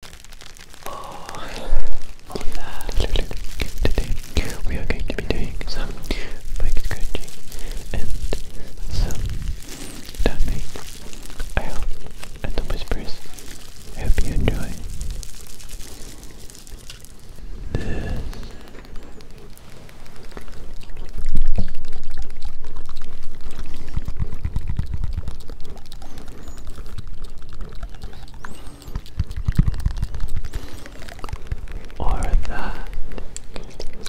Today we are going to be doing some back scratching and some tapping. I hope and the whispers. I hope you enjoy this or that. This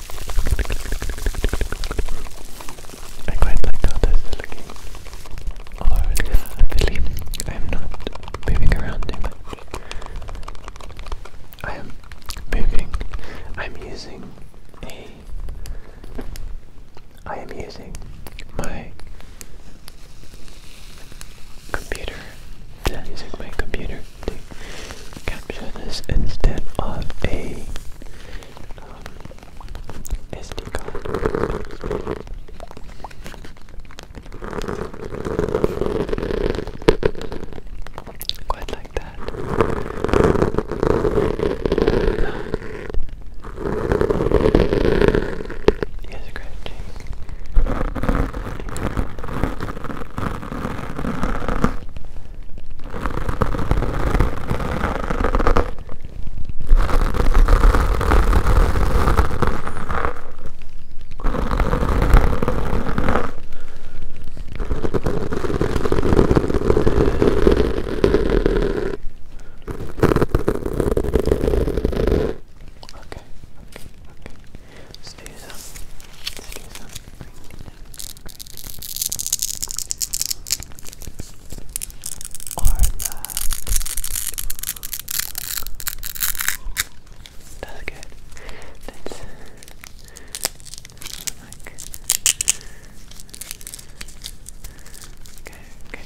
I am not moving around too I am moving. I'm using a. I am using my computer. I'm using my computer to capture this instead of a um, SD card. Quite like that. Yes, scratching. Okay, okay, okay. Let's do some. Let's do some or love. That's good. That's like okay, okay.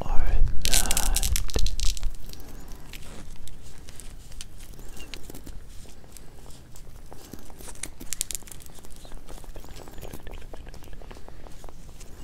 Or not.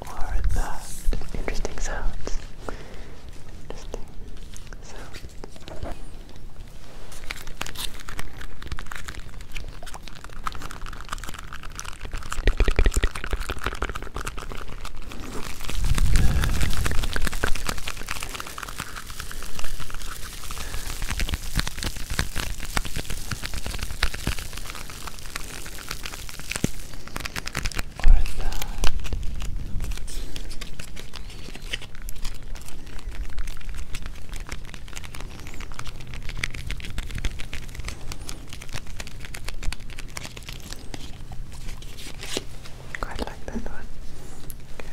or that interesting sounds. Interesting sounds or that. Quite like that one. Okay.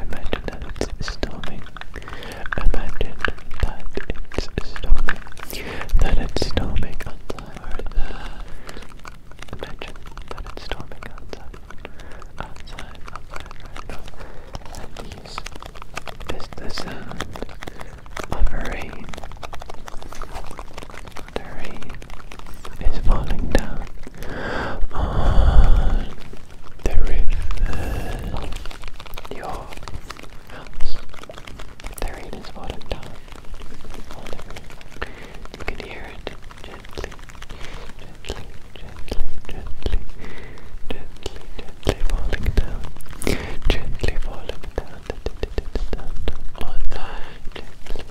Imagine that it's storming. Imagine that it's storming. That it's storming outside. Imagine that it's storming outside, outside, outside right now, and these, this the rain. The rain is falling down on the roof. Your house. The rain is falling down you can hear it gently, gently, gently, gently, gently, gently falling down, gently falling down, down, down, down, gently. Gently,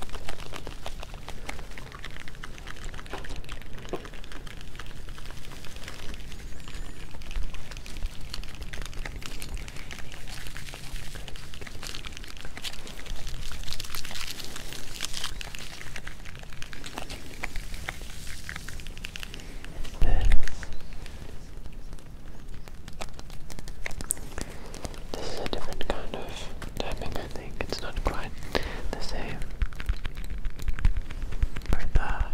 this is a different kind of tapping, I think. It's not quite the same. For that.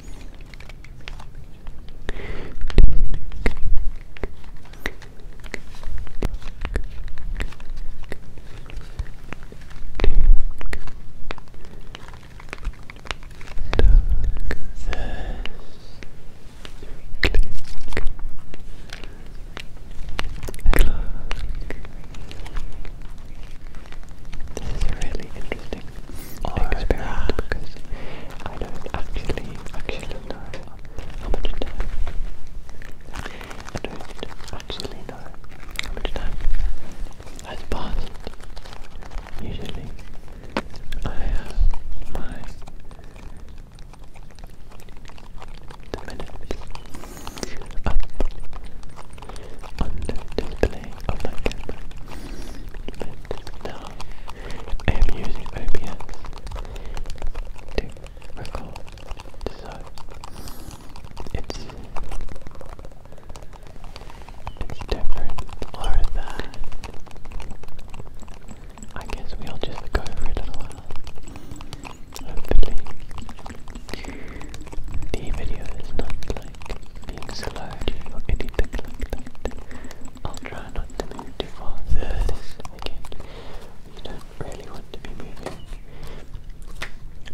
This is a really interesting I don't actually actually know how much time. I don't actually know how much time has passed. Usually, I have the minutes thing of um, I am using OBS to record, so it's it's different or that. I guess we'll just go for it in while. Hopefully the video is not like being slowed or anything like that. I'll try not to move too far. There it is. Again, you don't really want to be moving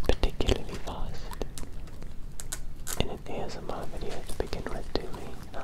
particularly fast in an ASMR video to begin with, do we? No.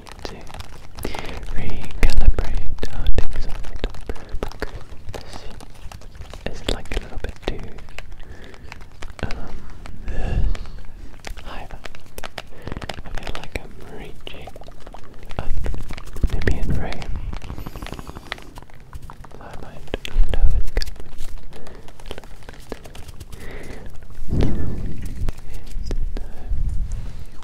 to recalibrate how things are set like a little bit too um high I feel like I'm reaching up the median frame. So I might lower it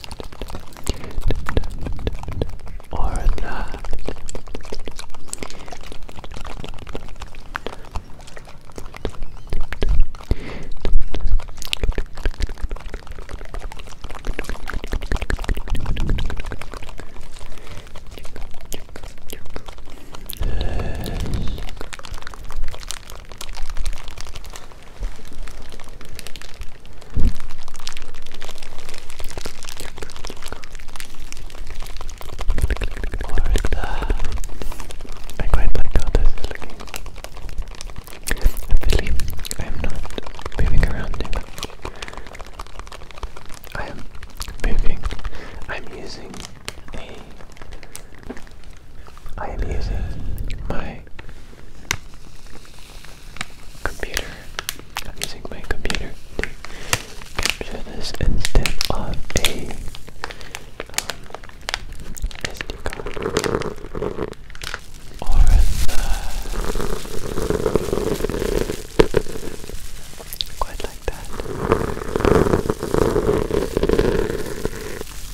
or not. Yes. I quite like how this looking. I am not moving around I am moving. I'm using a I am using my computer. I'm using my computer to capture this instead of a um, SD card or the quite like that.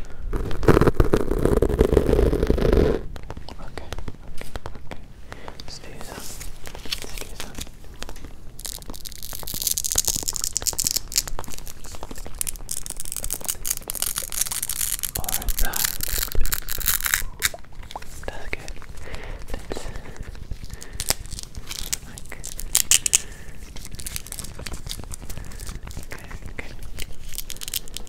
Okay, okay, okay. Let's do that. Let's do that. Alright, that. That's good. That's like Okay, okay.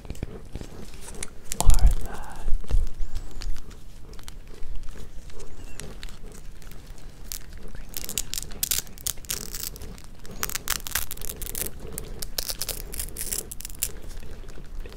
or that This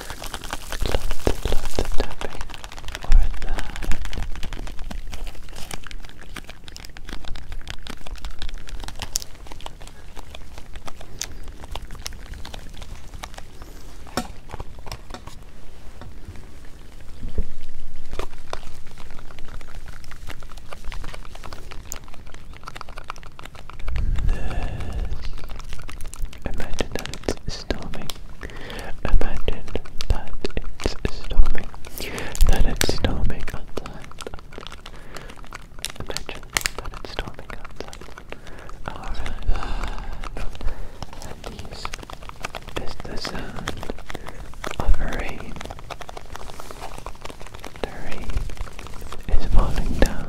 love the tapping or that. This. Imagine that Imagine that it's storming. That it's storming outside. Imagine that it's storming outside. Alright. And this is the sound of rain. The rain is falling down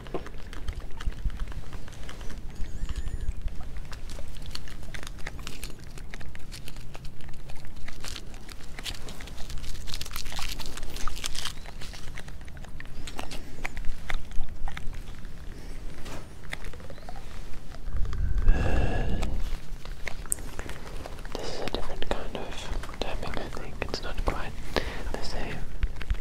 this is a different kind of tapping, I think. It's not quite the same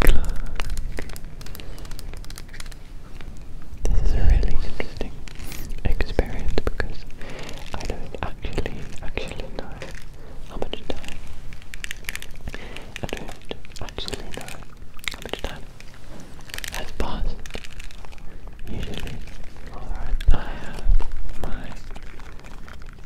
Clark. This is a really interesting experience because I don't actually actually know how much time. I don't actually know how much time has passed. Usually, alright, I have my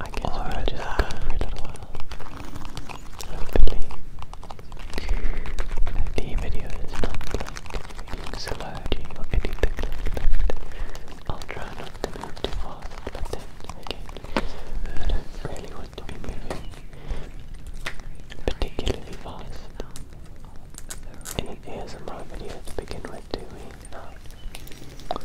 I can All just that. for a little while. Hopefully, the video is not like being sludgy or anything like that. I'll try not to move too fast, but then I don't really want to be moving particularly fast. In an video to begin with, do we?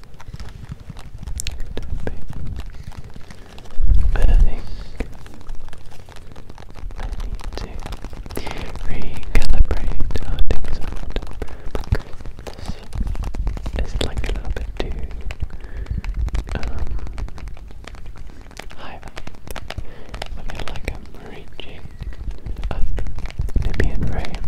I think I need to recalibrate how things are because this like a little bit too high up. like I'm reaching up maybe in frame.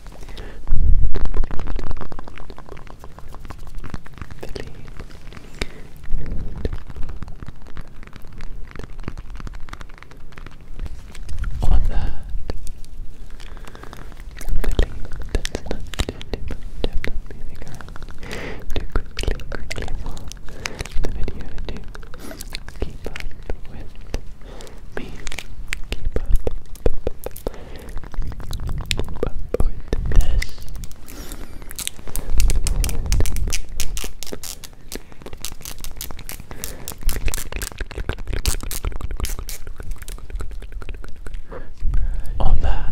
Philly. On that. Philly. That's not definitely the guy to quickly, quickly for the video to Keep up with me. Keep up. with this. All that.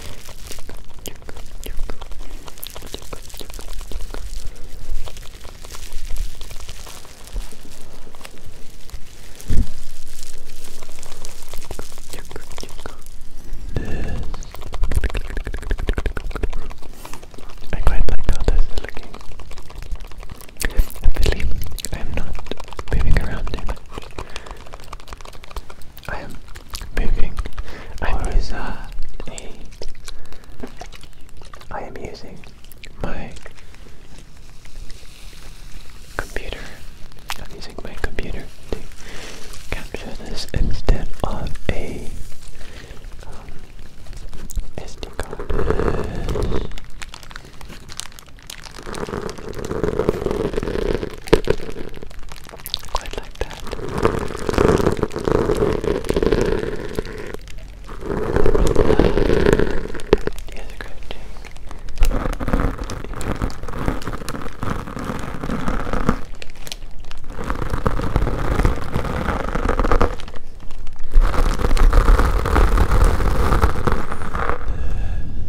I quite like this looking. Obviously, I'm not moving around I am moving. I'm or using am using my computer. I'm using my computer to capture this instead of a um, SD card. Quite like that. Here's a great uh,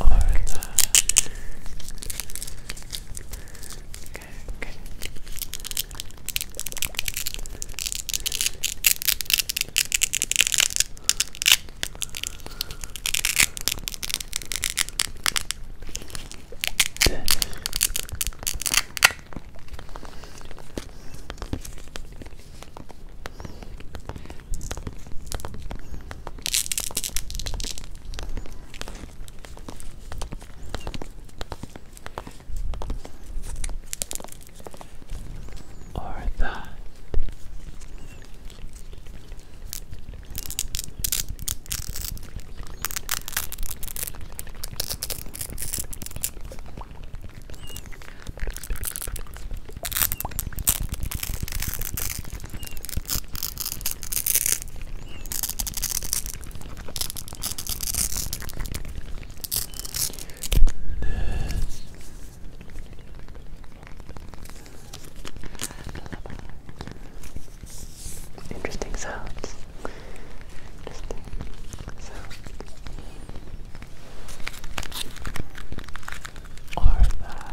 Or the... Okay, okay. This or that. Interesting sounds. Interesting sounds or that.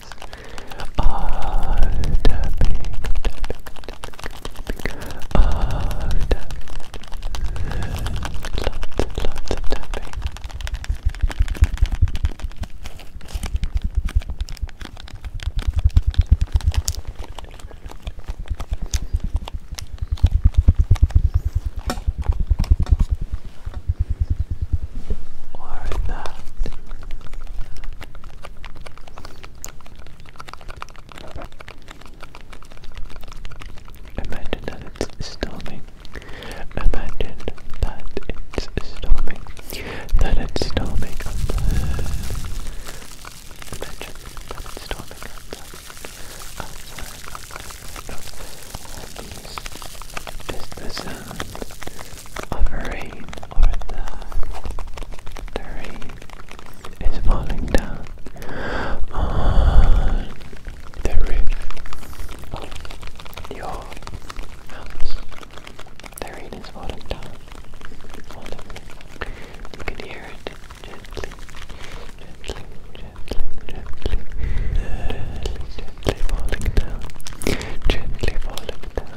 Ah, tapping, tapping, ah, tapping, lots, lots of tapping or Imagine that it's storming. Imagine that it's storming. That it's storming Imagine that it's storming outside. Outside, outside, outside. Just the sound of rain the, rain is falling down on the roof of your house. The rain is falling down on the You can hear it gently, gently, gently, gently, gently, gently falling down, gently falling down.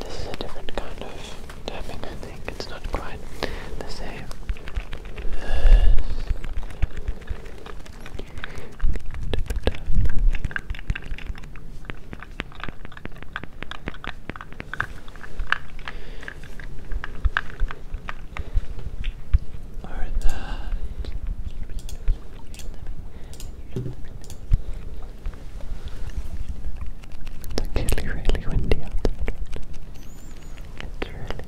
This is a different kind of tapping, I think. It's not quite the same. Or that. It's actually really windy out It's really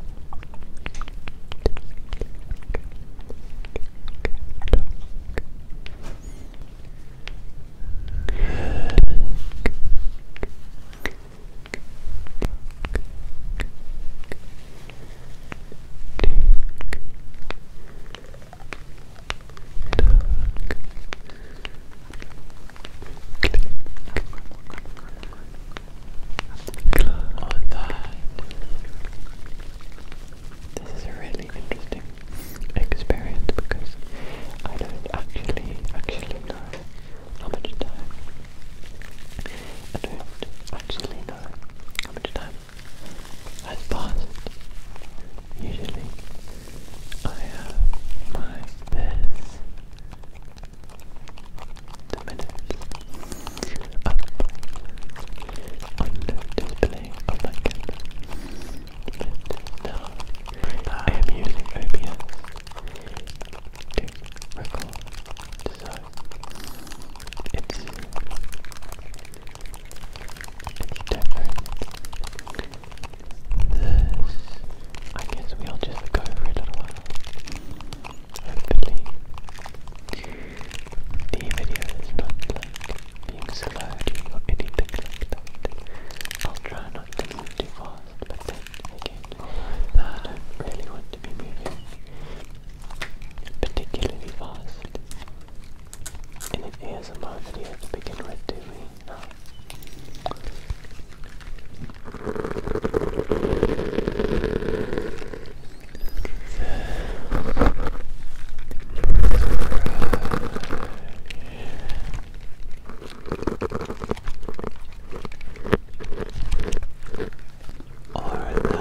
on that. This is a really interesting experience because I don't actually actually know how much time I don't actually know how much time has passed. Usually, I have my bears, the minutes, up on the I am using OBS to record, so it's this, I guess we'll just go for a little while. Hopefully, the video is not being slowed or anything like that. I'll try not to move too fast, but then again, I don't really want to be moving particularly fast in an ASMR video to begin with, do we? No. Or that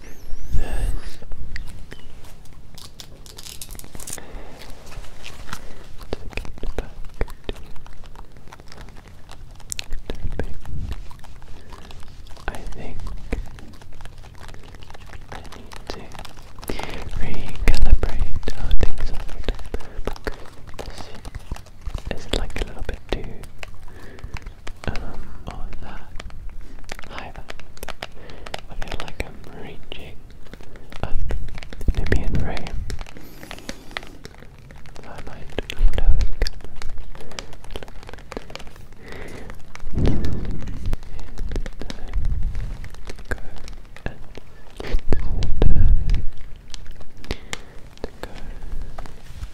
I think I need to recalibrate how things are. This like a little bit too um, or oh, that, I feel like I'm reaching up the Nubian I might lean over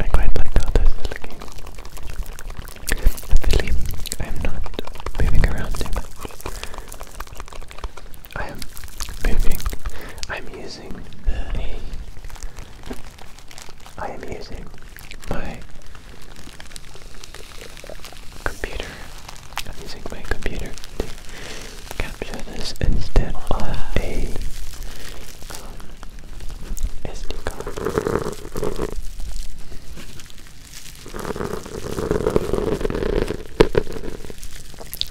I quite like how this is looking. Luckily, I'm not moving around too much. I am moving. I'm using the. I am using my computer. I'm using my computer to capture this instead of a. Um, SD card.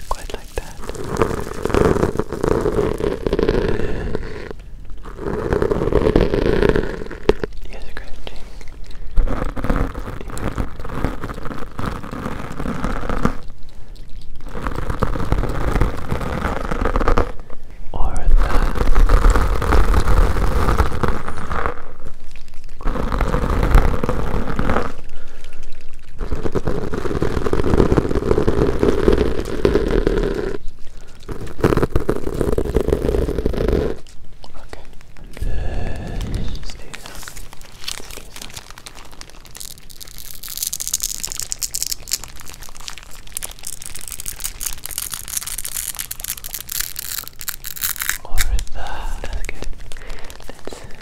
Quite like that. Yes, scratching. Yeah or that. Okay. Let's do that. Let's do that. Or is that? That's good. That's okay, okay.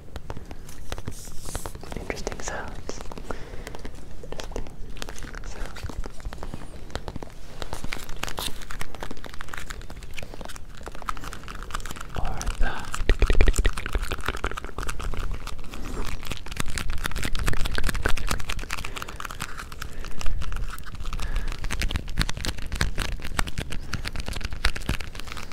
interesting sounds. Interesting sounds.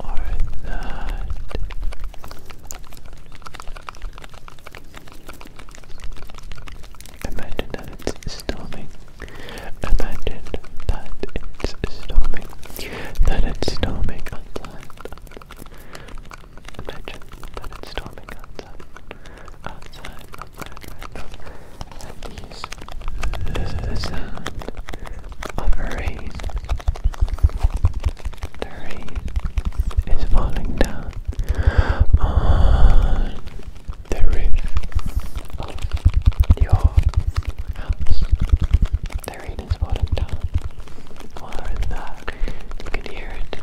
or that. Imagine that it's storming. Imagine that it's storming. That it's storming outside. Imagine that it's storming outside, outside of that the sound of rain. The rain is falling down on the roof of your house. The rain is falling down. While in you can hear it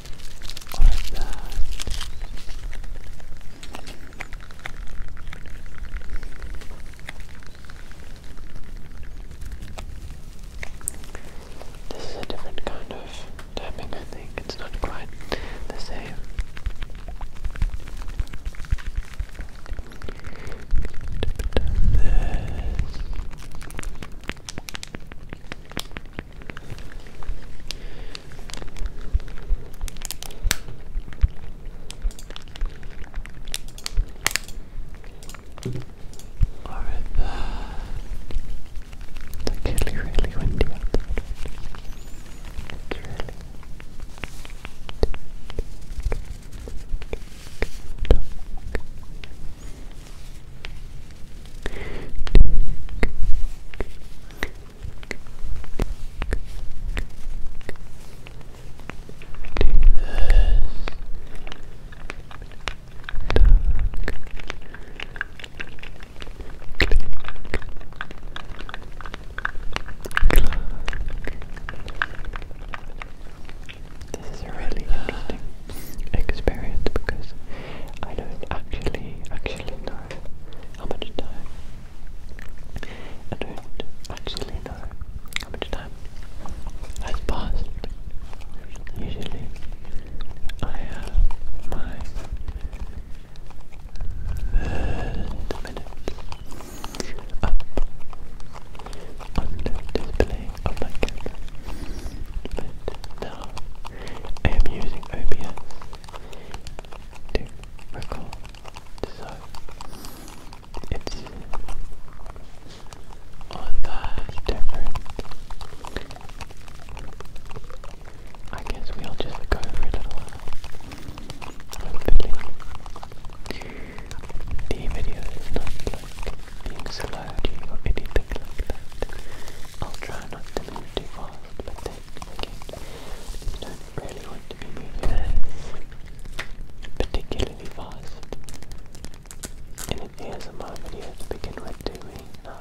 This is a different kind of tapping, I think. It's not quite the same. Alright, it's uh, actually really windy outside. It's really this is a really interesting experience because I don't actually actually actually know how much time. I don't actually know how much time has passed. Usually, I have my third up on display of my camera but um, I am using OBS to record, so it's on the different. I guess we'll just go for a little while. Hopefully, the video is not like being slowed or anything like that. I'll try not to move too fast, but then again, you not really want to be moving particularly fast in an my video to begin with, do we? No.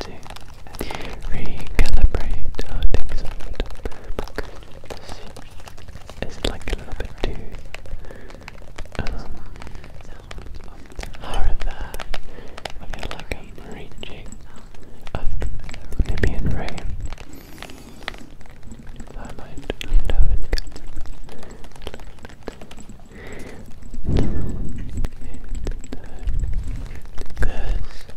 to recalibrate how it's like a little bit too um, hard that I feel like I'm reaching up the Libyan rain I might know it Curse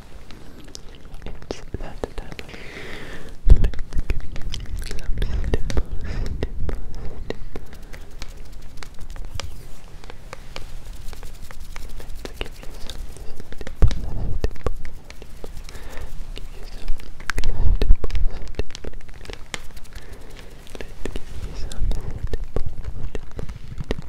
It's that time of year. Let me give you some dimples, dimples, dimples. Let's give you some dimples, dimples, dimples. Give you some dimples, dimples, dimples. Let's give you some dimples, dimples.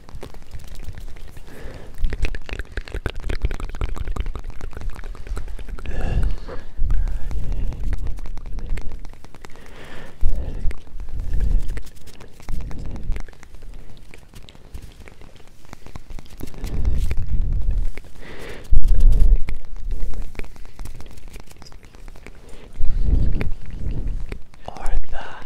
Or that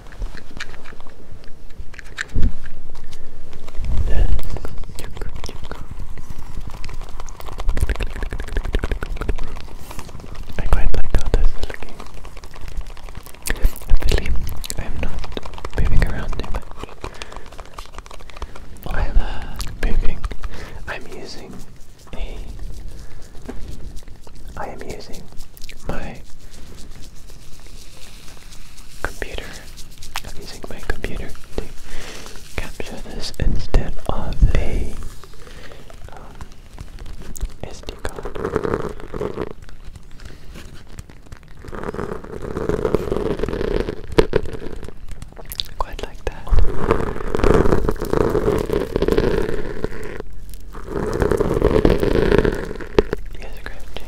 I quite like how this is looking. Obviously, I'm not moving around I'm uh, moving. I'm using a. I am using my computer. I'm using my computer to capture this instead of the um, SD card. Quite like that. Yes, grab change.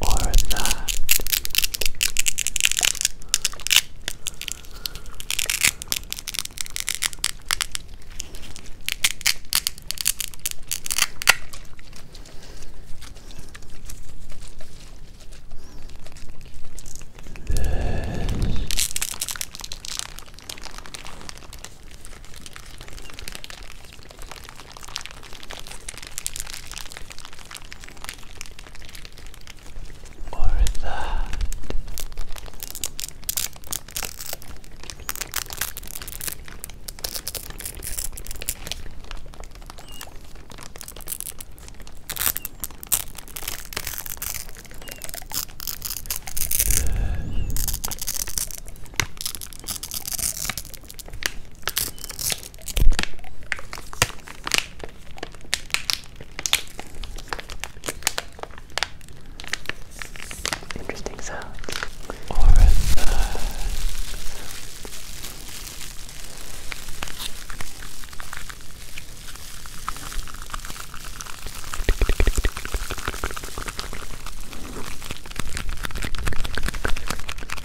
or that. This or that. Good. Interesting sound. Or a third. Uh,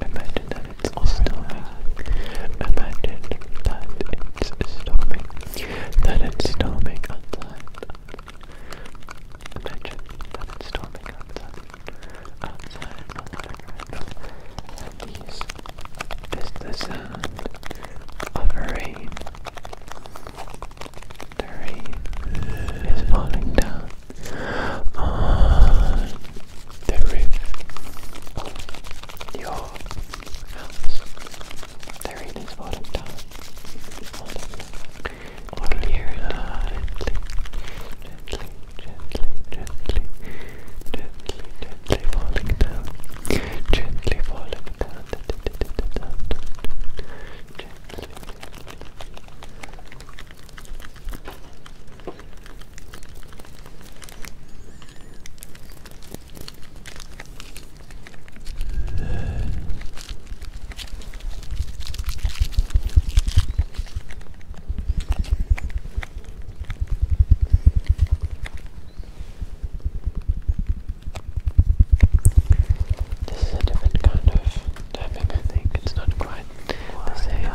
Imagine that it's storming. Imagine that it's storming. That it's storming outside. Imagine that it's storming outside. Outside the water And these is the sound of rain. The rain is falling down the roof of your house. The rain falling down. Gently, gently, gently, gently, gently falling down. Gently falling down. This is a different kind of tapping, I think. It's not quite the same.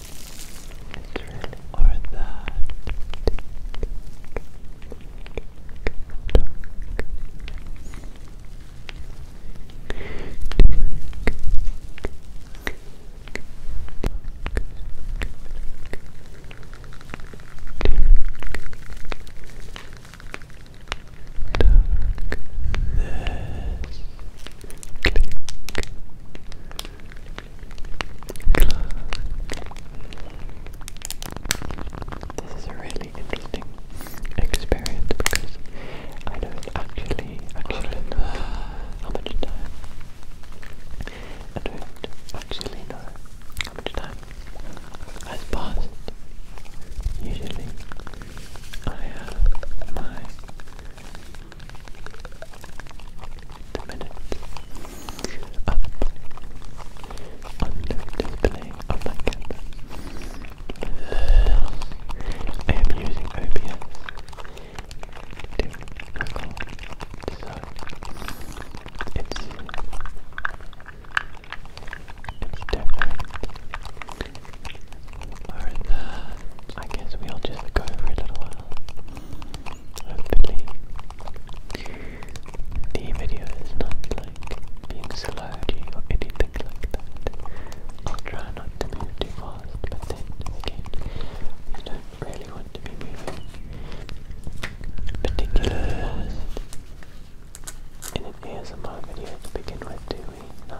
or that. Click, this is a really interesting experience because I don't actually actually how much time. I don't actually how much time has passed. Usually I have my the minutes I am using OBS to record, so it's, it's different. Alright, I guess we'll just go for a little while hopefully the video is not like being slowed or anything like that. I'll try not to move too fast, but then again, we don't really want to be moving particulars in an ASMR video to begin with, do we? No.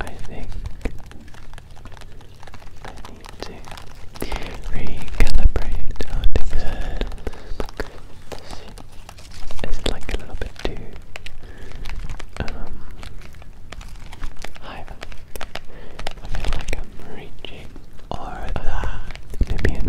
I think I need to recalibrate on the bed. It's like a little bit too um, I feel like I'm reaching or uh, maybe in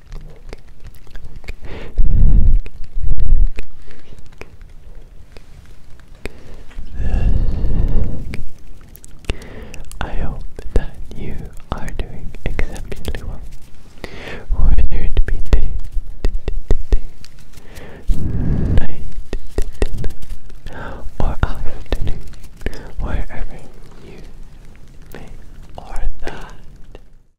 I hope that you are doing exceptionally well. Whether it be day, day, or afternoon, wherever you may or that.